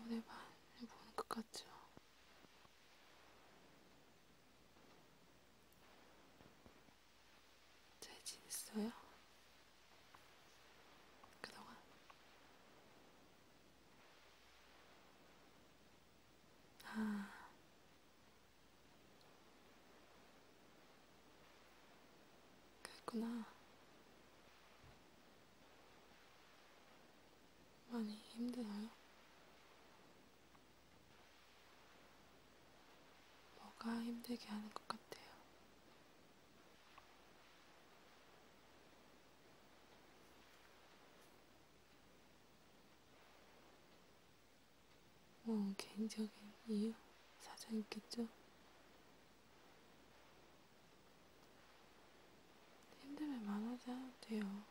오늘만 보는 것 같죠? 잘 지냈어요? 그동안? 아. 그랬구나. 많이 힘드나요? 뭐가 힘들게 하는 것 같아요? 뭐 개인적인 이유, 사정 있겠죠? 힘들면 만하지 않아도 돼요.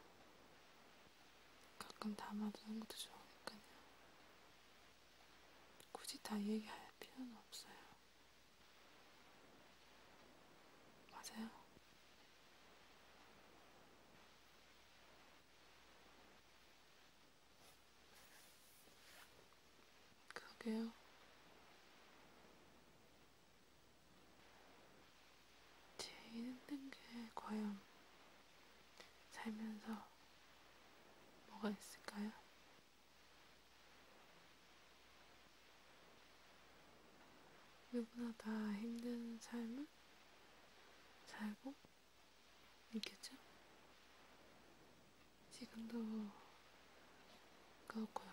가끔 담아두는 것도 좋으니까요. 굳이 다 얘기할 필요는 없어요. 맞아요. 그러게요. 제일 힘든 게 과연 살면서 뭐가 있을까요? 누구나 다 힘든 삶을 살고 있겠죠? 지금도 그렇고요.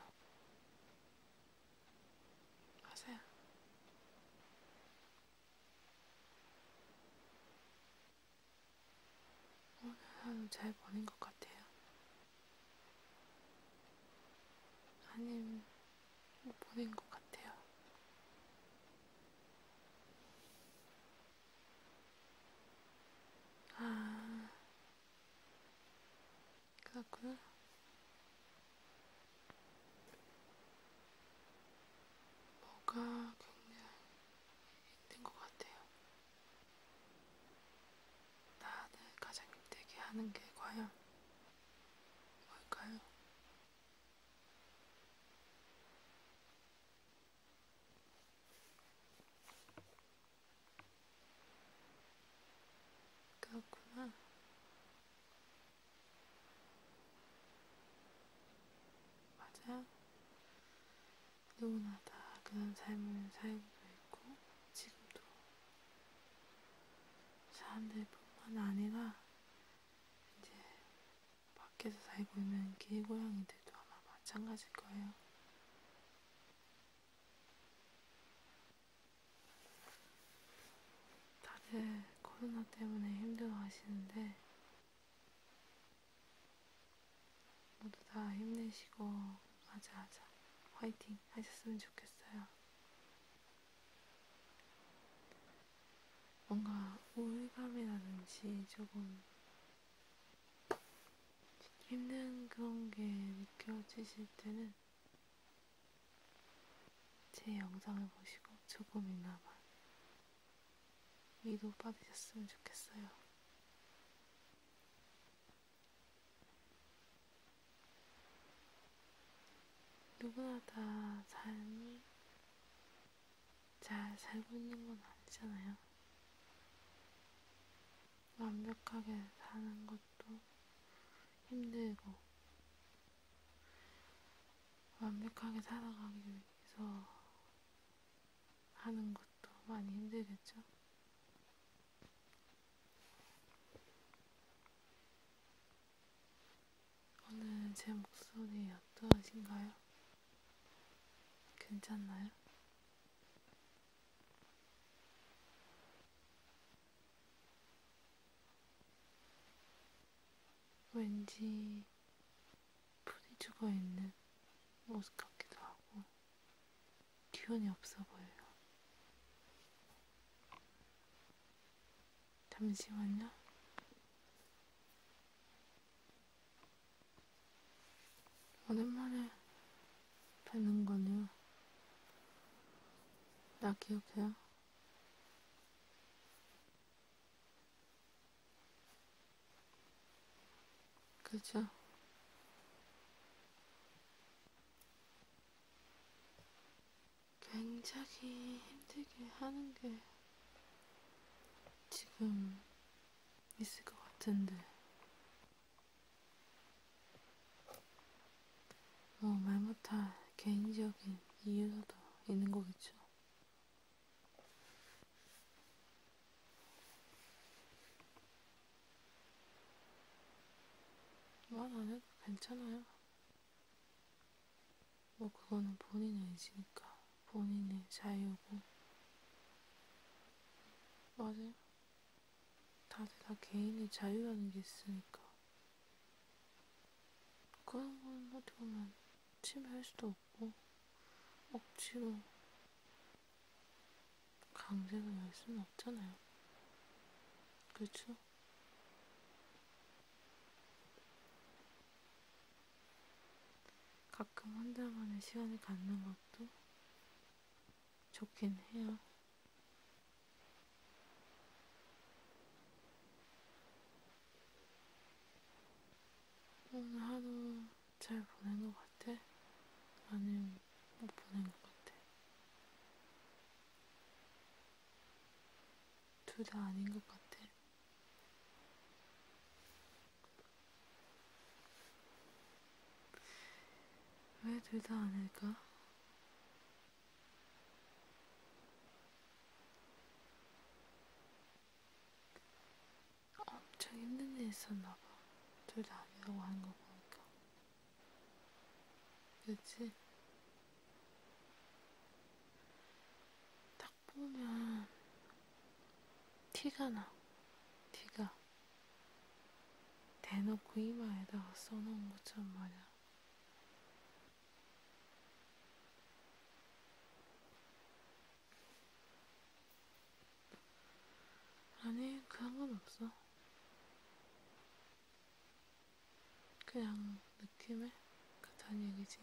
맞아요. 오늘 하루 잘 보낸 것 같아요. 아님, 못 보낸 것 같아요. 아, 그렇구나. 뭐가 굉장히 힘든 것 같아요. 나를 가장 힘들게 하는 게 과연 뭘까요? 그렇구나. 맞아. 누구나 다 그런 삶을 살고도 있고, 지금도. 사람들뿐만 아니라, 이제, 밖에서 살고 있는 길고양이들도 아마 마찬가지일 거예요. 다들 코로나 때문에 힘들어 하시는데, 모두 다 힘내시고, 맞아, 맞아, 화이팅 하셨으면 좋겠어요. 뭔가 우울감이라든지 조금 힘든 그런 게 느껴지실 때는 제 영상을 보시고 조금이나마 위도 받으셨으면 좋겠어요. 누구나 다 삶이 잘 살고 있는 건 아니잖아요. 완벽하게 사는 것도 힘들고, 완벽하게 살아가기 위해서 하는 것도 많이 힘들겠죠? 오늘 제 목소리 어떠신가요? 괜찮나요? 왠지 풀이 죽어 있는 모습 같기도 하고 기운이 없어 보여요. 잠시만요. 오랜만에 패는 거냐? 나 기억해요? 그죠? 굉장히 힘들게 하는 게 지금 있을 것 같은데 어, 말 못할 개인적인 이유도 있는 거겠죠. 말안 해도 괜찮아요. 뭐 그거는 본인의 의지니까 본인의 자유고 맞아요. 다들 다 개인의 자유라는 게 있으니까. 그런 건 어떻게 보면 침해할 수도 없고, 억지로 강제로 할 수는 없잖아요. 그렇죠? 가끔 혼자만의 시간을 갖는 것도 좋긴 해요. 오늘 하루 잘 보낸 것 같아? 아니면 못 보낸 것 같아? 둘 다 아닌 것 같아. 왜 둘 다 아닐까? 엄청 힘든 일 있었나봐. 둘 다 아니라고 하는 거 보니까. 그치? 딱 보면, 티가 나. 티가. 대놓고 이마에다가 써놓은 것처럼 말이야. 아니, 그런 건 없어. 그냥 느낌에 같은 얘기지.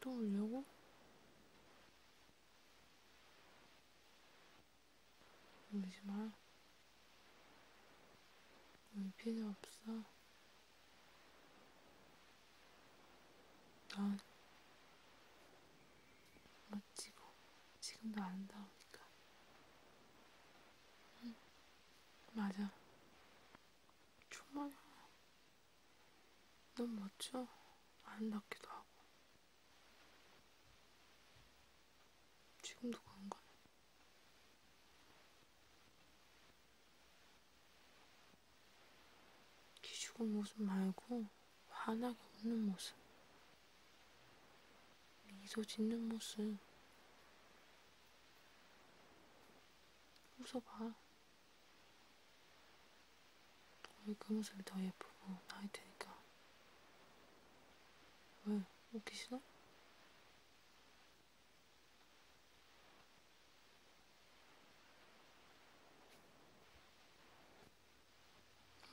또 올려고? 울지 마. 울 필요 없어. 넌 멋지고 지금도 아름다우니까. 응, 맞아. 충분해. 너무 멋져? 아름답기도 하고. 지금도 그런가? 기죽은 모습 말고 환하게 웃는 모습. 미소 짓는 모습. 웃어봐. 우리 검은색이 더 예쁘고 나이 테니까. 왜? 웃기 싫어?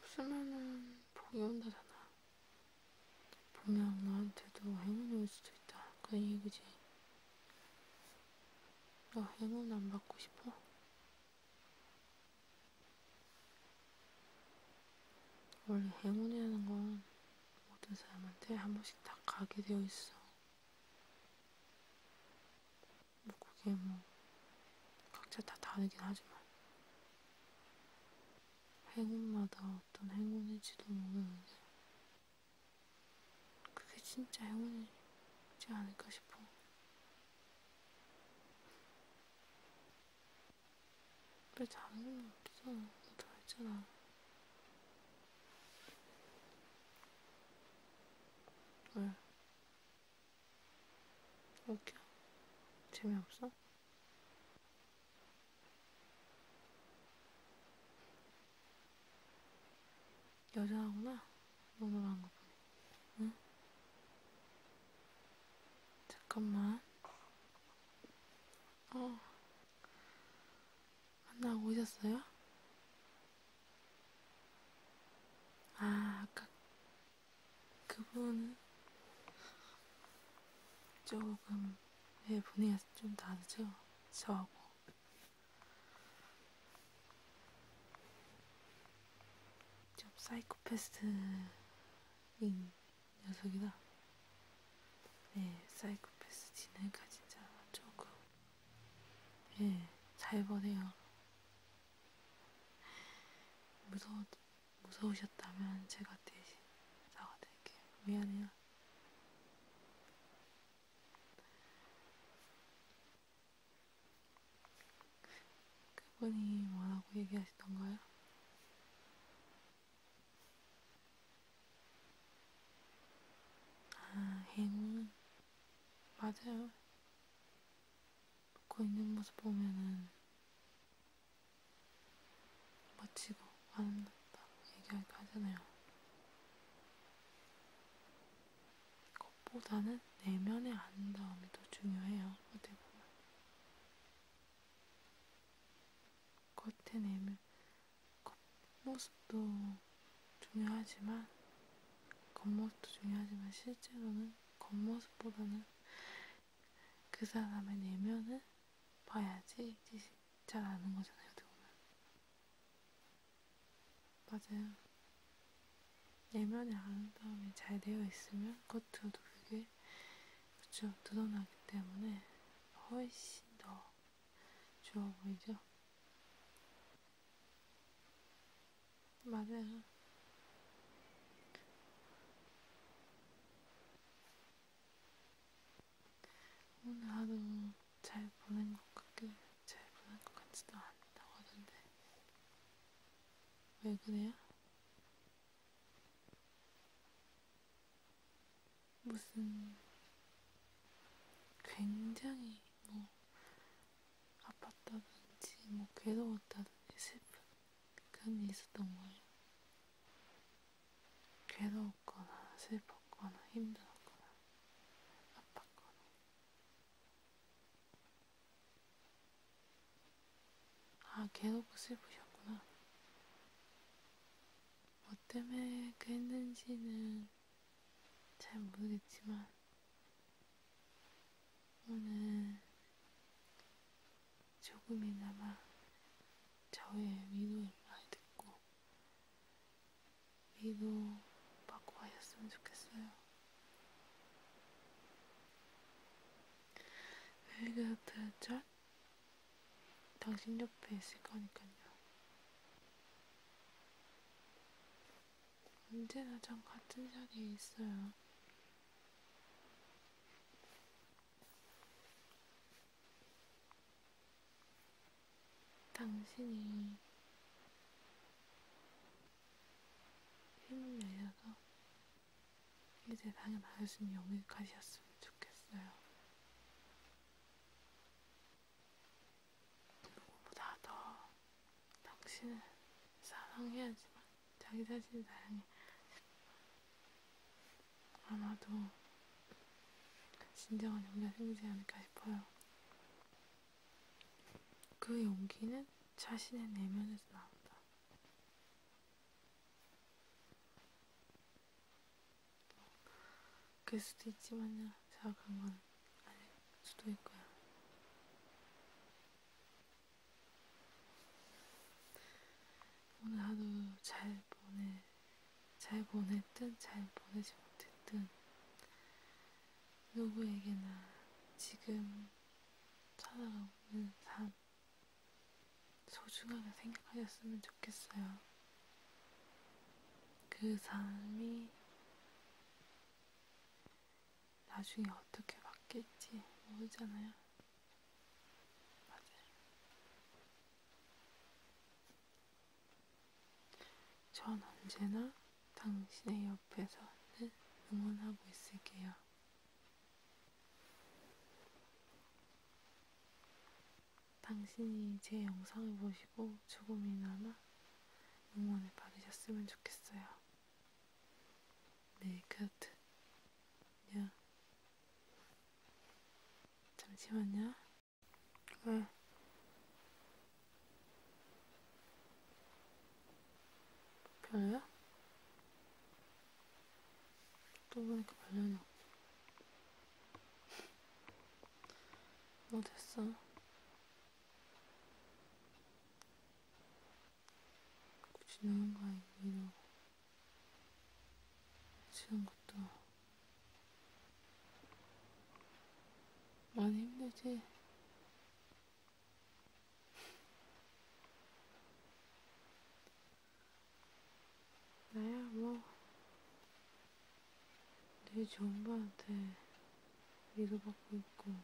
없으면은 복이 온다잖아. 분명 너한테도 행운이 올 수도 있다. 그 얘기지. 너 어, 행운 안 받고 싶어? 원래 행운이라는 건 모든 사람한테 한 번씩 다 가게 되어 있어. 뭐 그게 뭐 각자 다 다르긴 하지만 행운마다 어떤 행운일지도 모르는데 그게 진짜 행운이지 않을까 싶어. 왜 다른 건 없어? 다 했잖아. 왜? 웃겨? 재미없어? 여자구나. 노노한 거 보니. 응? 잠깐만. 어. 만나고 오셨어요? 아, 아까 그분 조금 왜 분위기가 좀 다르죠? 저하고. 좀 사이코패스인 녀석이다. 네, 사이코패스 지내가 진짜 조금, 예, 네, 잘 보내요. 무서워, 무서우셨다면 제가 대신 사과드릴게요. 미안해요. 그분이 뭐라고 얘기하시던가요? 아, 행운. 맞아요. 먹고 있는 모습 보면은 멋지고 아름답다고 얘기하기도 하잖아요. 것보다는 내면의 아름다움이 더 중요해요. 어떻게 보면 겉의 내면, 겉모습도 중요하지만 겉모습도 중요하지만 실제로는 겉모습보다는 그 사람의 내면을 봐야지 잘 아는 거잖아요. 어떻게 보면 맞아요. 내면의 아름다움이 잘 되어 있으면 겉으로도 그게 그쵸 드러나기 때문에 훨씬 더 좋아 보이죠? 맞아요. 오늘 하루 잘 보는 것 같게 잘 보는 것 같지도 않다고 하던데 왜 그래요? 무슨 굉장히 뭐 아팠다든지 뭐 괴로웠다든지 슬픈 그런 일이 있었던 거예요. 괴로웠거나 슬펐거나 힘들었거나 아팠거나 아, 개놓고 슬프셨구나. 뭐 때문에 그랬는지는 잘 모르겠지만, 오늘 조금이나마 저의 위로를 많이 듣고 위로 받고 가셨으면 좋겠어요. 웰그하트 짤? 당신 옆에 있을 거니까요. 언제나 전 같은 자리에 있어요. 당신이 힘을 내셔서 이 세상에 나으신 영이 가셨으면 좋겠어요. 누구보다 더 당신을 사랑해야지만 자기 자신을 사랑해. 아마도 진정한 용기가 생기지 않을까 싶어요. 그 용기는 자신의 내면에서 나온다. 그럴 수도 있지만요. 자각한 건 아닐 수도 있고요. 오늘 하루 잘 보내, 잘 보냈든 잘 보내지 못했든 누구에게나 지금 살아가고 있는 삶 소중하게 생각하셨으면 좋겠어요. 그 삶이 나중에 어떻게 바뀔지 모르잖아요. 맞아요. 전 언제나 당신의 옆에서는 응원하고 있을게요. 당신이 제 영상을 보시고 조금이나마 응원을 받으셨으면 좋겠어요. 네, 그렇듯. 야. 잠시만요. 왜? 아. 별로야? 또 보니까 별로냐? 뭐 됐어? 지나간 거 아니고 이러고 지난 것도 많이 힘들지? 나야 뭐 되게 좋은 분한테 위로받고 있고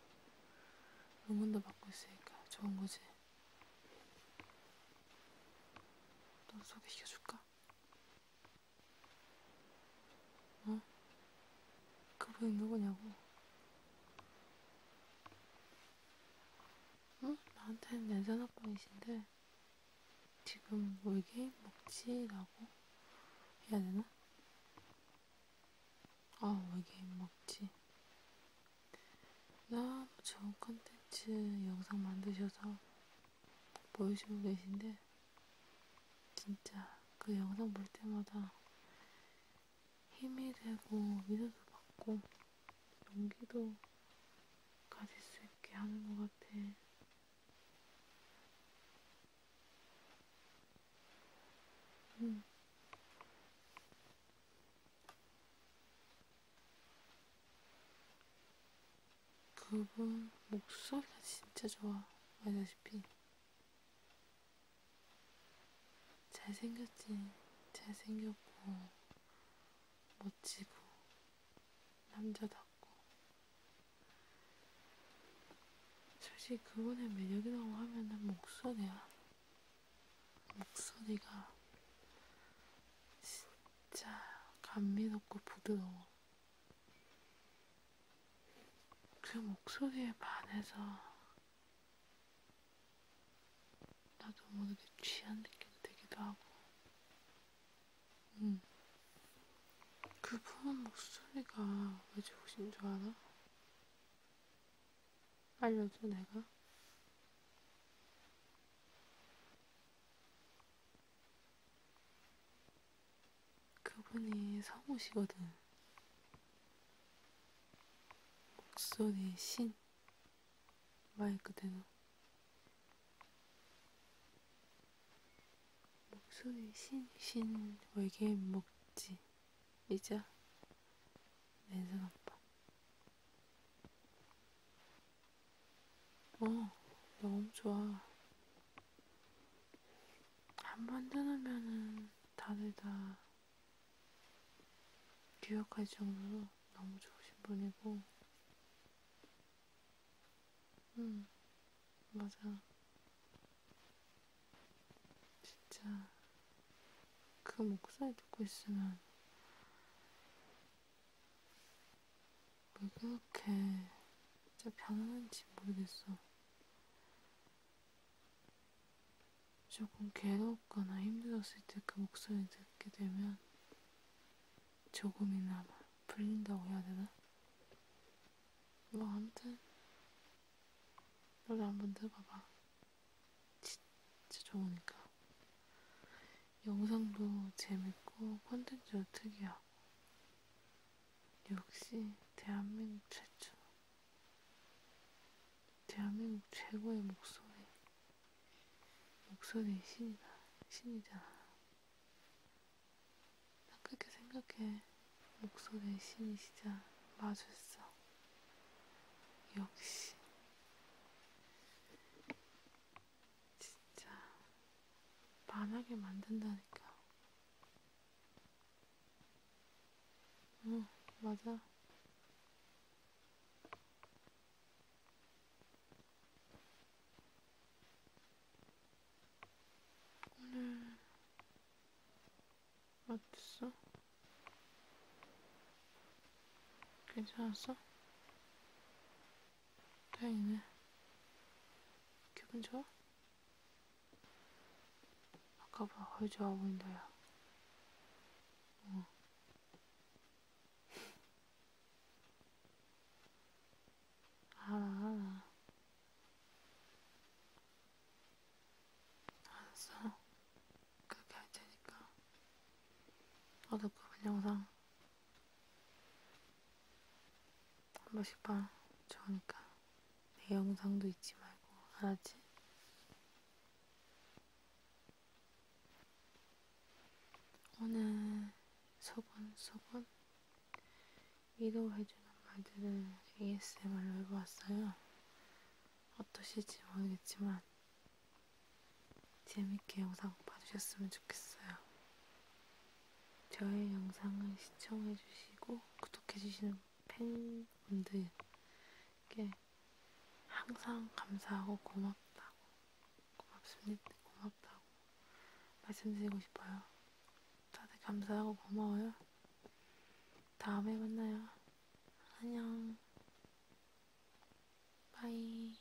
응원도 받고 있으니까 좋은 거지 너 소개시켜줄까? 어? 그분이 누구냐고? 응? 어? 나한테는 내전학번이신데 지금 물게 먹지라고 해야 되나? 아, 물게 먹지. 너무 좋은 컨텐츠 영상 만드셔서 보여주고 계신데 진짜 그 영상 볼 때마다 힘이 되고 믿음도 받고 용기도 가질 수 있게 하는 것 같아. 응. 음. 그분 목소리가 진짜 좋아. 알다시피 잘생겼지, 잘생겼고, 멋지고, 남자답고. 솔직히 그분의 매력이라고 하면은 목소리야. 목소리가 진짜 감미롭고 부드러워. 그 목소리에 반해서 나도 모르게 취한 느낌이 들기도 하고, 응. 음. 그분 목소리가 왜 좋으신 줄 알아? 알려줘, 내가. 그분이 성우시거든. 목소리의 신. 말 그대로. 목소리 신, 신, 외계 먹지. 이자, 내생 아빠. 어, 너무 좋아. 한번 떠나면은 다들 다 기억할 정도로 너무 좋으신 분이고, 응, 음, 맞아. 진짜 그 목소리 듣고 있으면 왜 그렇게 진짜 변하는지 모르겠어. 조금 괴롭거나 힘들었을 때 그 목소리 듣게 되면 조금이나마 풀린다고 해야 되나? 뭐 아무튼 노래 한번 들어봐봐. 진짜 좋으니까. 영상도 재밌고 콘텐츠도 특이하고 역시 대한민국 최초. 대한민국 최고의 목소리, 목소리 신이다, 신이잖아. 난 그렇게 생각해. 목소리의 신이시자 마술사. 역시. 진짜, 만하게 만든다니까. 응, 맞아. 오늘 어땠어? 괜찮았어? 다행이네. 기분 좋아? 아까 봐, 아주 좋아 보인다, 야. 어. 알아, 알아. 알았어. 그렇게 할 테니까. 너도 그분 영상 한 번씩 봐. 좋으니까. 내 영상도 잊지 말고. 알았지? 오늘 소곤 소곤 위로해주는 말들을 ASMR로 해보았어요. 어떠실지 모르겠지만 재밌게 영상 봐주셨으면 좋겠어요. 저의 영상을 시청해주시고 구독해주시는 팬분들께 항상 감사하고 고맙다고, 고맙습니다. 고맙다고 말씀드리고 싶어요. 다들 감사하고 고마워요. 다음에 만나요. 안녕. 바이.